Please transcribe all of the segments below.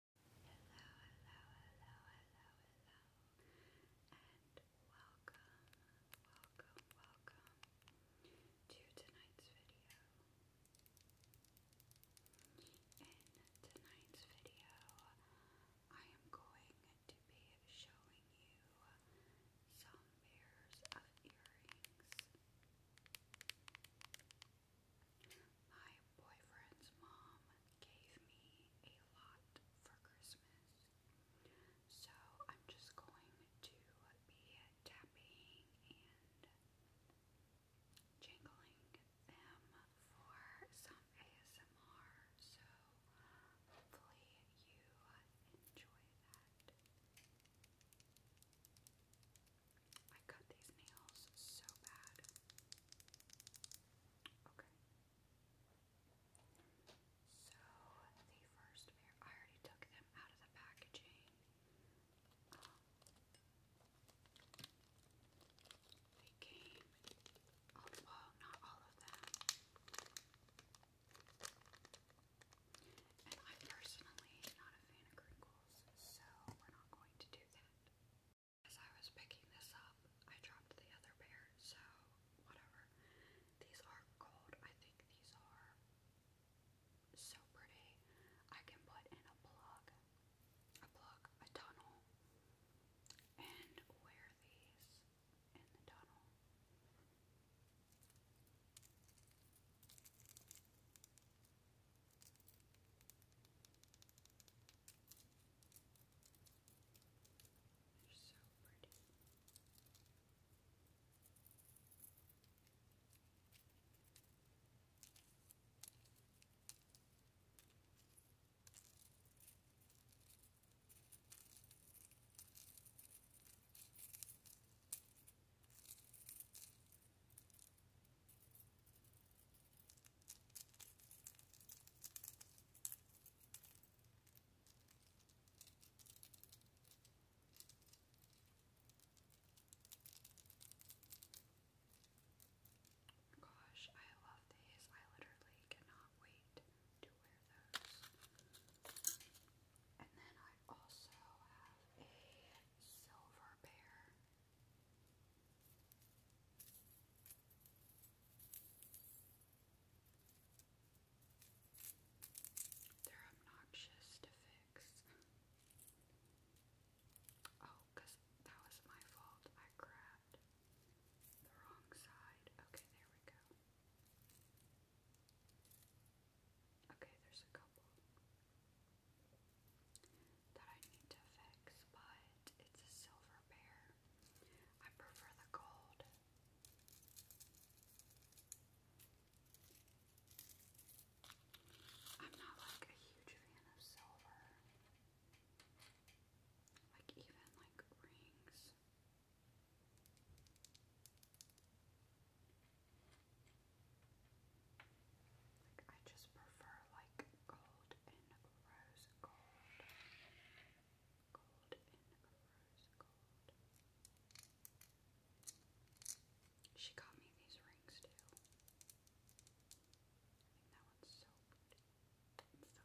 welcome, welcome to tonight's video. In tonight's video, I am going to be showing you some pairs of earrings. My boyfriend's mom gave me a lot for Christmas, so I'm just going to be tapping and jingling them for some ASMR, so hopefully you enjoy that. I cut these nails so bad. Okay. So the first pair, I already took them out of the packaging. they came, oh, not all of them. And I'm personally not a fan of crinkles, so we're not going to do that. As I was picking this up, I dropped the other pair, so whatever. These are gold. I think these are so pretty. I can put in a plug, a plug, a tunnel, and wear these in the tunnel. They're so pretty. Gosh, I love these. I literally cannot wait to wear those. And then I also have a silver bear they're obnoxious to fix. Oh, that was my fault. I grabbed the wrong side. Okay, there we go. Okay, there's a couple that I need to fix, but it's a silver pair. I prefer the gold. I'm not like a huge fan of silver. Like even like rings. Like I just prefer like gold and rose gold. Gold and rose gold. She got me these rings too. that one's so pretty. so pretty.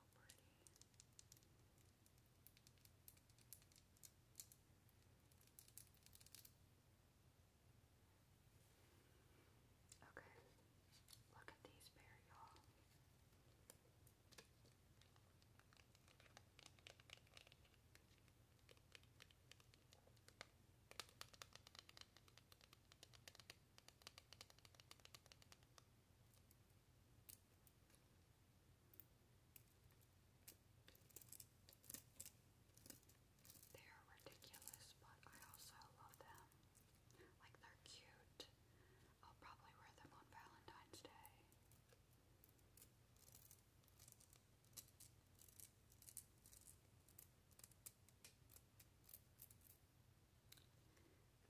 Okay, look at these pair, y'all. They are ridiculous, but I also love them. Like, they're cute. I'll probably wear them on Valentine's Day.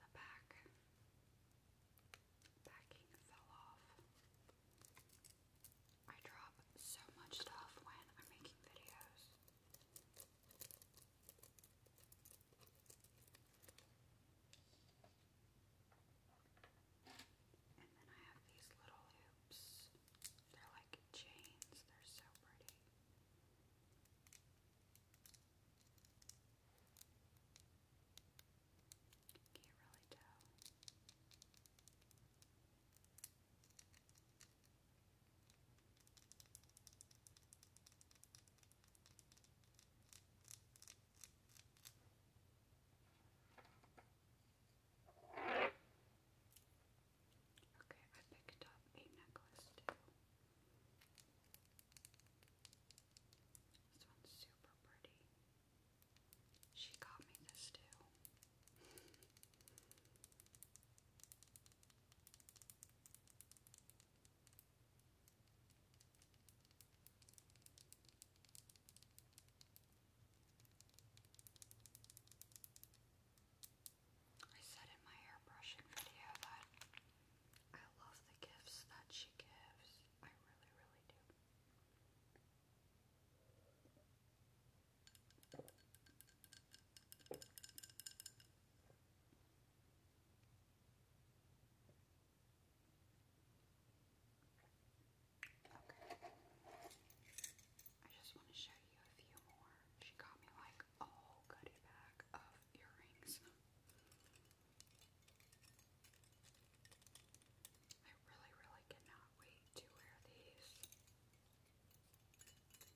The back backing fell off. I drop so much stuff when I'm making videos. And then I have these little hoops. They're like chains, they're so pretty. Can't really tell. Okay, I picked up a necklace This one's super pretty. She got me this too. I said in my airbrushing video that I love the gifts that she gives. I really, really do. I just want to show you a few more. She got me like a goodie bag of earrings. I really, really cannot wait to wear these. These I really, really like.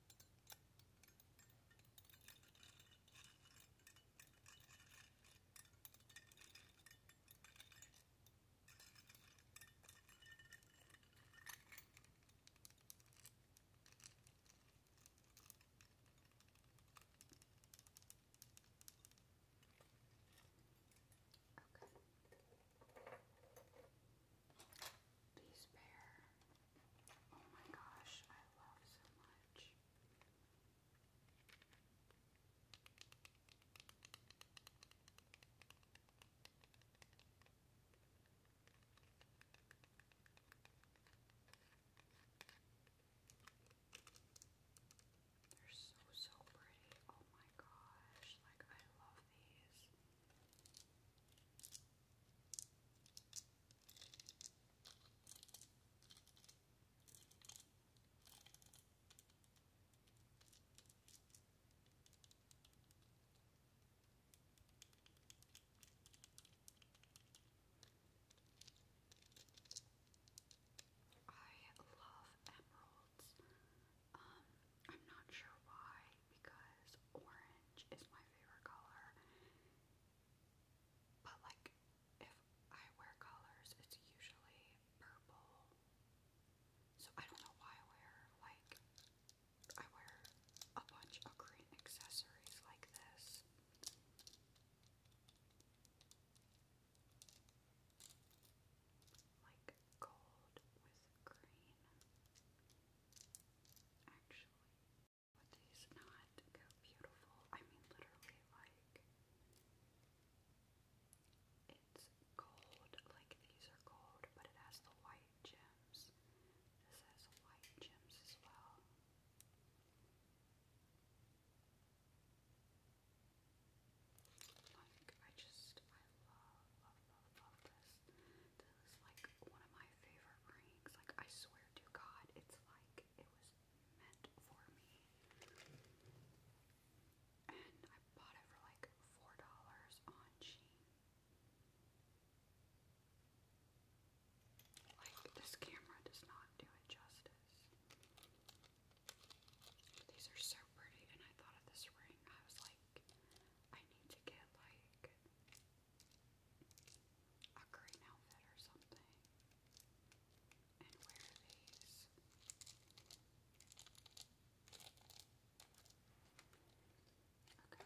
These pair Oh my gosh, I love so much. They're so, so pretty. Oh my gosh, like I love these. I love emeralds. Um, I'm not sure why, because orange is my favorite color, but like if I wear colors, it's usually purple. So I don't know why I wear like I wear a bunch of green accessories like this. Like gold with green. Actually, these not go beautiful? I mean, literally, like, it's gold. Like, these are gold, but it has the white gems. This has white gems as well. Like, I just, I love, love, love, love this. This is like one of my favorite rings. Like I swear to God, it's like it was meant for me. And I bought it for like four dollars on Shein. Like this camera does not do it justice. These are so pretty, and I thought of this ring. I was like, I need to get like a green outfit or something and wear these. Okay.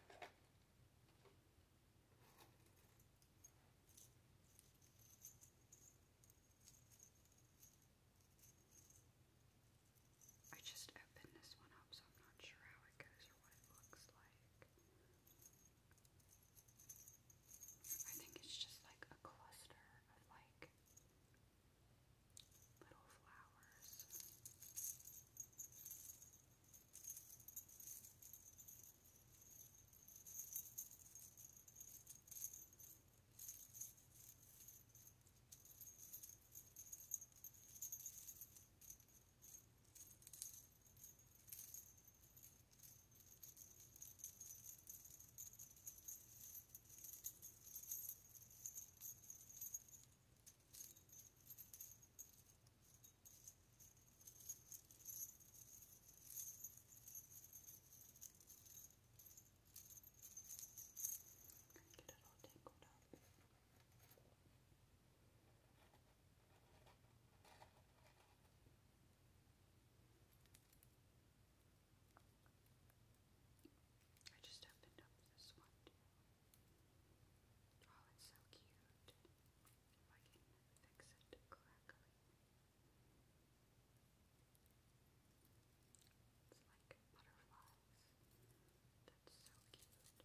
I just opened this one up, so I'm not sure how it goes or what it looks like. I think it's just like a cluster of like little flowers. Get it all tangled up. I just opened up this one Oh, it's so cute. If I can fix it correctly. It's like butterflies. That's so cute.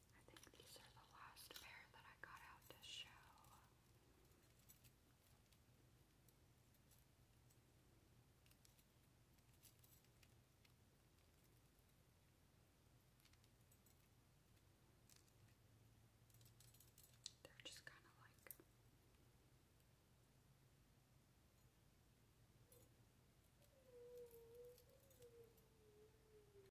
I think these are the last pair that I got out to show. They're just kind of like